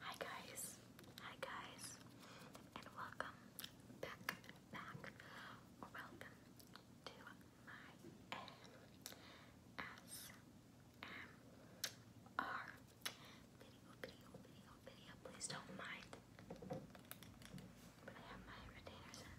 Hi guys, hi guys, and welcome back, welcome to my ASMR video, video, video, Please don't mind, but I have my retainers in.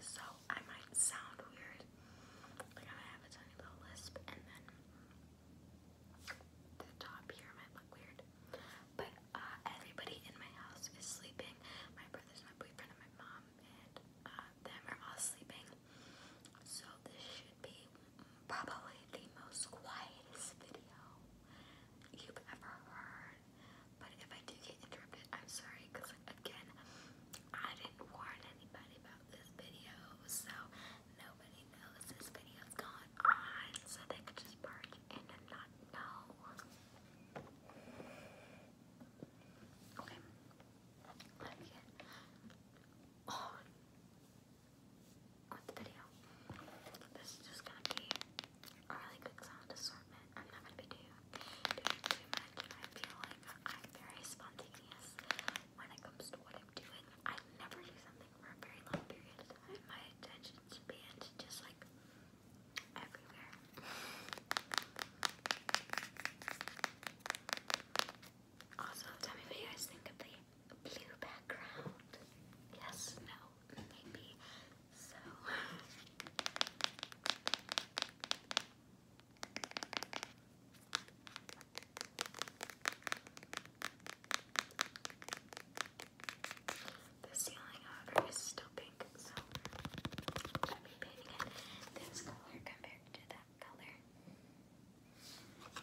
So I might sound weird, like I have a tiny little lisp, and then the top here might look weird. But uh, everybody in my house is sleeping. My brothers, my boyfriend, my mom, and uh, them are all sleeping. So this should be probably the most quietest video you've ever heard. But if I do get interrupted, I'm sorry because again, I didn't warn anybody about this video, so nobody knows this video's going on, so they could just barge and not know. Okay, let me get on the video. This is just gonna be a really good sound assortment. I'm not going to be doing too much. I feel like I'm very spontaneous when it comes to what I'm doing. I never do something for a very long period of time. My attention span is just like everywhere. Also, tell me what you guys think of the blue background. Yes, no maybe. So the ceiling, however, is still pink, so I'll be painting it this color compared to that color. Real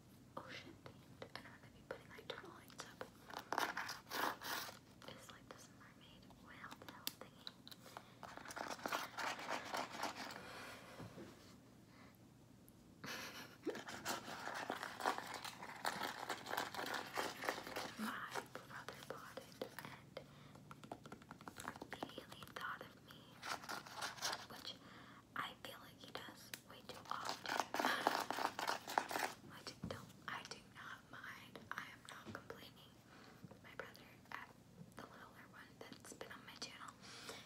ocean themed, and I'm gonna be putting like turtle lights up. It's like this mermaid whale tail thingy. My brother bought it and immediately thought of me, which I I feel like he does way too often. I don't, I do not mind. I am not complaining. My brother, the littler one that's been on my channel,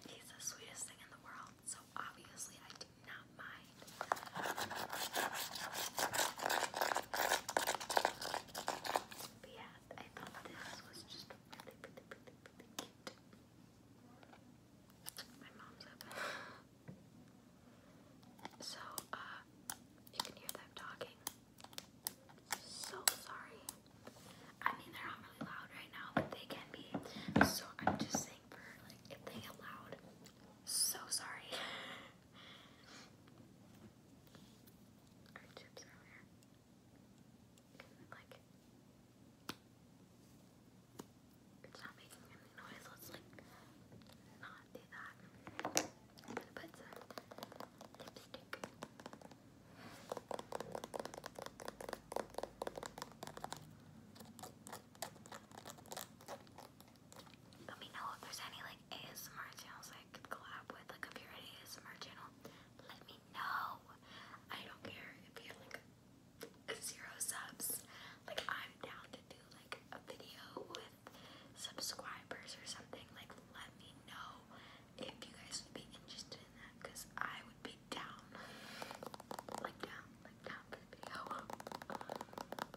he's the sweetest thing in the world. So obviously, I do not mind. yeah, I thought this was just really, really, really, cute. My mom's up. So, uh, you can hear them talking. So sorry. I mean, they're not really loud right now, but they can be. So, I'm just saying for, like, if they get loud, so sorry. Our chips are here. Like, it's not making any noise. let me know if there's any like ASMR channels I collab with. Like if you're an ASMR channel, let me know. I don't care like zero subs. Like I'm down to do like a video with subscribers or something. Like let me know if you guys would be interested in that because I would be down. Like down, like down for the video.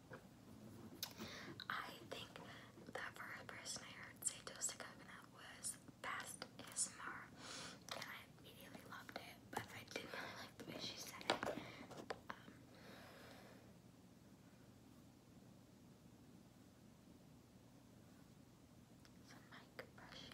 I think the first person I heard say toasted coconut was Fast ASMR, and I immediately loved it, but I didn't really like the way she said it. Um, some mic brushing.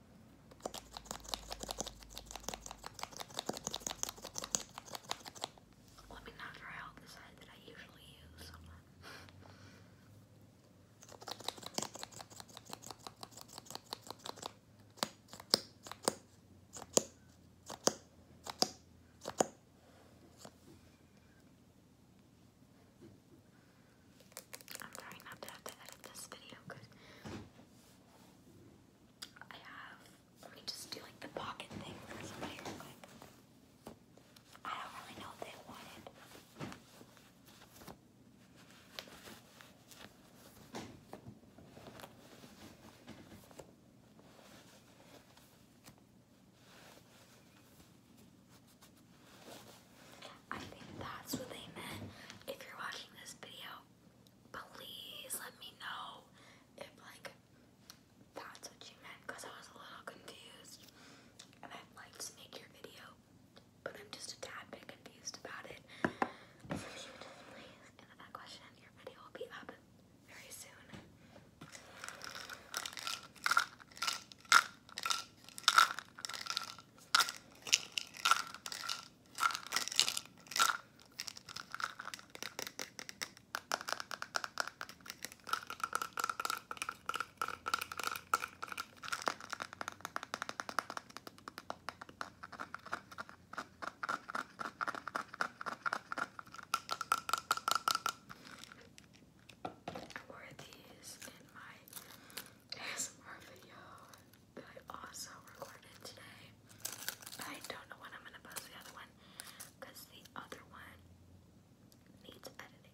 Let me not try out the side that I usually use. I'm trying not to have to edit this video because I let me just do like the pocket thing I don't really know what they wanted. I think that's what they meant. If you're watching this video, please let me know if like that's what you meant because I was a little confused and I'd like to make your video but I'm just a tad bit confused about it. please answer that question, your video will be up very soon. I wore these in my ASMR video that I also recorded today. I don't know when I'm gonna post the other one the other one needs editing.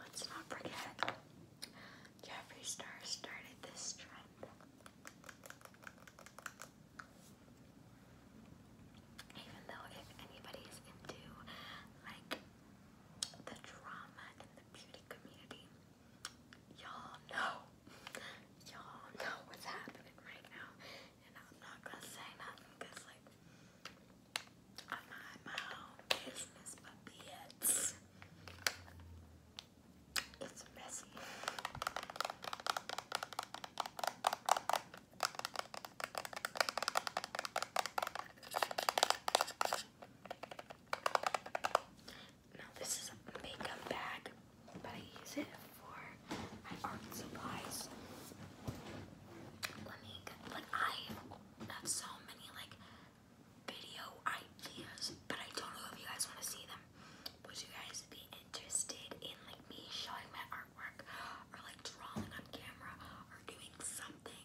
Let's not forget, Jeffree Star started this trend. Even though if anybody is into like the drama in the beauty community. Y'all know. Y'all know what's happening right now. And I'm not gonna say nothing like I mind my own business, but bitch. It's messy. Now this is a makeup bag, but I use it for my art supplies. Let me like I have so many like video ideas, but I don't know if you guys want to see them. Would you guys be interested in like me showing my artwork or like drawing on camera or doing something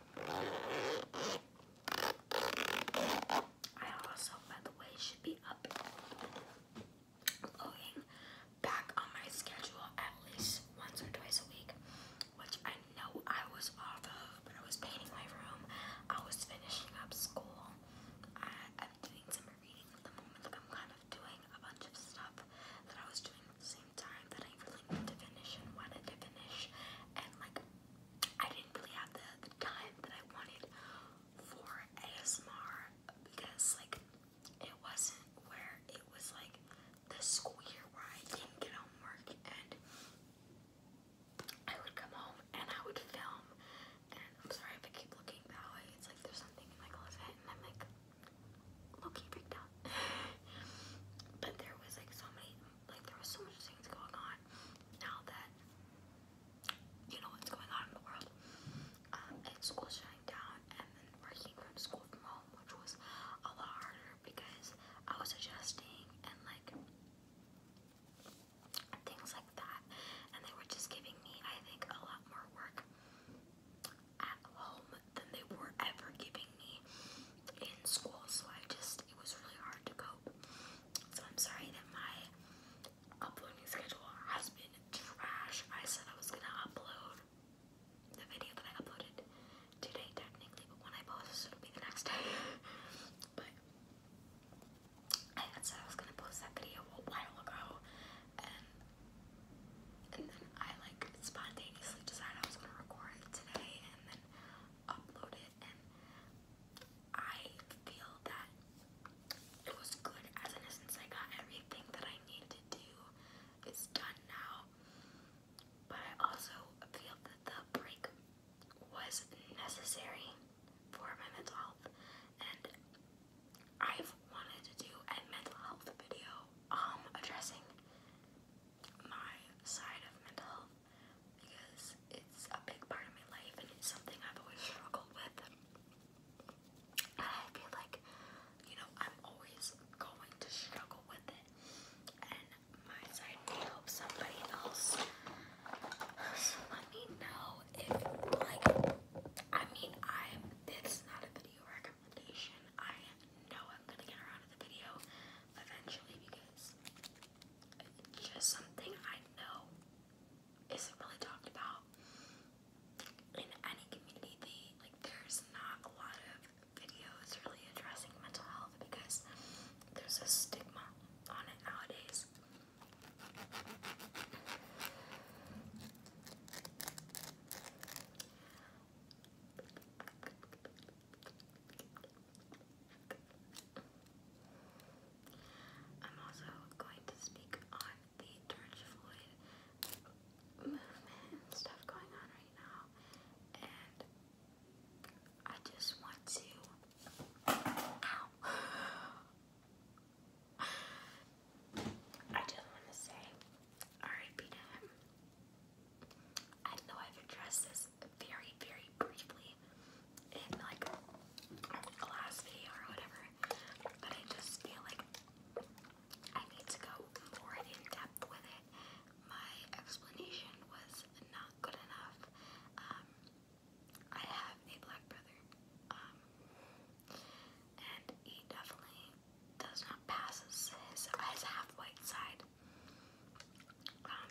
I also, by the way, should be up loading back on my schedule at least once or twice a week, which I know I was off of, but I was painting my room. I was finishing up school. I'm doing some reading at the moment. Like I'm kind of doing a bunch of stuff that I was doing same time that I really need to finish and wanted to finish, and like I didn't really have the, the time that I wanted for ASMR because like it wasn't where it was like the school year where I didn't get homework and I would come home and I would film and I'm sorry if I keep looking that way. It's like there's something in my closet and I'm like looking right now but there was like so many, like there was so much things going on now that you know what's going on in the world. Um, and school shutting down and then working from school from home, which was a lot harder because I was adjusting and like things like that. And they were just giving me, I think, a lot more work at home than they were ever giving me in school. So I just, it was really hard to cope. So I'm sorry that my uploading schedule has been trash. I said I was gonna upload the video that I uploaded today, technically, but when I post, it'll be the next day. but I said I was gonna post that video a while ago, and and then I like spontaneously decided I was gonna record it today, and then upload it. And I feel that it was good as in essence. I got everything that I needed to do. It's done now. But I also feel that the break was necessary for my mental health. And I've wanted to do a mental health video um, addressing my side of mental health because it's a big part of my life and it's something I've always struggled with. And I feel like, you know, I'm always going to struggle with it. And my side may help somebody else. let me know if, like, I mean, I'm, this not a video recommendation. I know I'm gonna get around to the video eventually because just something I know isn't really talked about in any community. like there's not a lot of videos really addressing mental health because there's a stigma on it nowadays. I'm also going to speak on the George Floyd movement and stuff going on right now, and I just want to. I just want to say, RIP to I know I've addressed this very, very briefly in like the last video or whatever, but I just feel like I need to go more in depth with it. My explanation was not good enough. Um, I have a black brother, um, and he definitely does not pass his, his, his half white side. Um,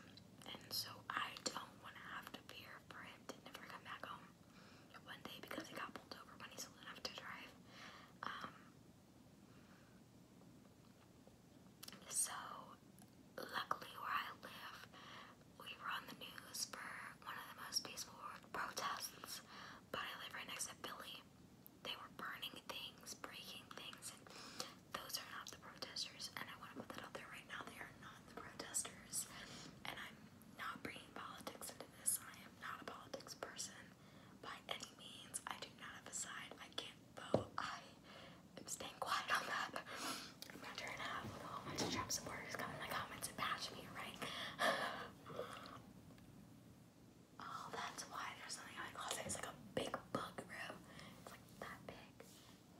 and so I don't want to have to fear for him to never come back home one day because he got pulled over when he's old enough to drive. Um, so luckily where I live, we were on the news for one of the most peaceful protests, but I live right next to Philly they were burning things, breaking things, and those are not the protesters. And I want to put that out there right now. They are not the protesters. And I'm not bringing politics into this. I am not a politics person by any means. I do not have a side. I can't vote. I am staying quiet on that. I'm not trying to have a whole bunch of Trump supporters come in the comments to bash me, right? Oh, that's why there's something in my closet. It's like a big bugaboo. It's like that big.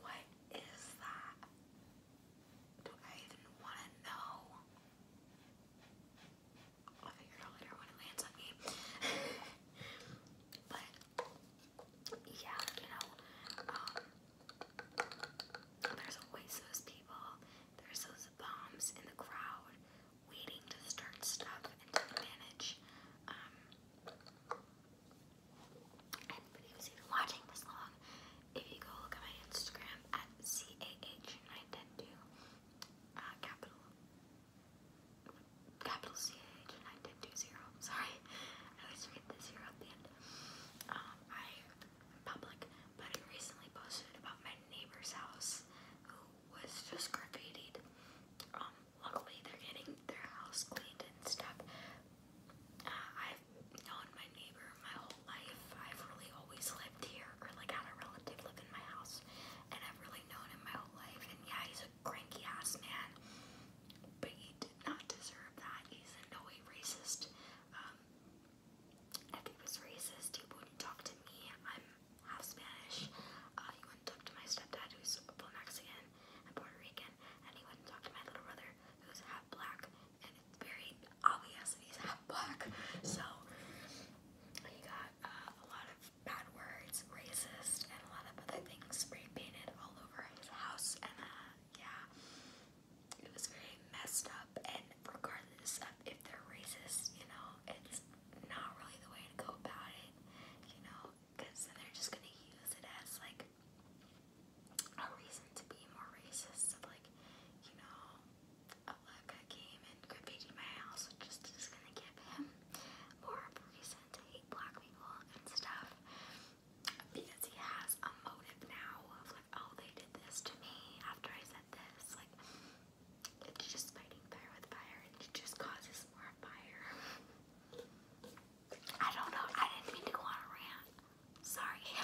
What is that? Do I even want to know? I'll later when it lands on me. but yeah, you know, um, there's always those people. There's those bombs in the crowd waiting to start stuff and manage. Um, anybody who's even long, if you go look at my Instagram at CAH910, uh, capital, capital CAH91020, sorry, I always forget the zero at the end. Um, I, in public, but I recently posted about my neighbor's house who was just graffitied. Um, luckily they're getting their house cleaned and stuff. Uh, I've known my neighbor my whole life. I've really always lived here, or had a relative live in my house, and I've really known him my whole life. And yeah, he's a cranky ass man, but he did not deserve that. He's in no way racist. Um, if he was racist, he wouldn't talk to me. I'm half Spanish. Uh, he wouldn't talk to my stepdad, who's full Mexican and Puerto Rican, and he wouldn't talk to my little brother, who's half black, and it's very obvious that he's half black. So he got uh, a lot of bad words, racist, and a lot of other things spray painted all over his house, and uh, yeah, it was very messed up. And regardless of if they're racist, you know, it's not really the way to go about it, you know, because they're just gonna use it as like a reason to be more racist. like, you know, a came and graffitied my house, which is gonna give him more reason to hate black people and stuff because he has a motive now of like, oh, they did this to me after I said this. Like, it's just fighting fire with fire and it just causes more fire. I don't know, I didn't mean to go on a rant. Sorry. I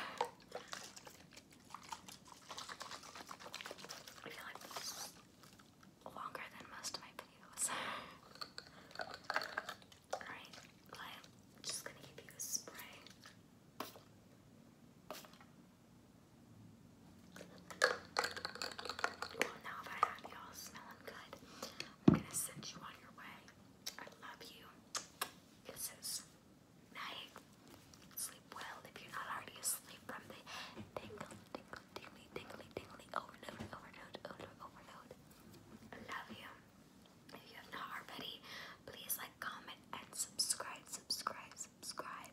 feel like this is longer than most of my videos. Alright, I'm just gonna give you a spray. Well, I you am gonna send you on your way. I love you. Kisses. Night. Sleep well if you're not already asleep from the tingle, tingle, tingly, tingly, tingly overload, overload, overload, overload. I love you. If you have not already, please like, comment, and subscribe, subscribe, subscribe.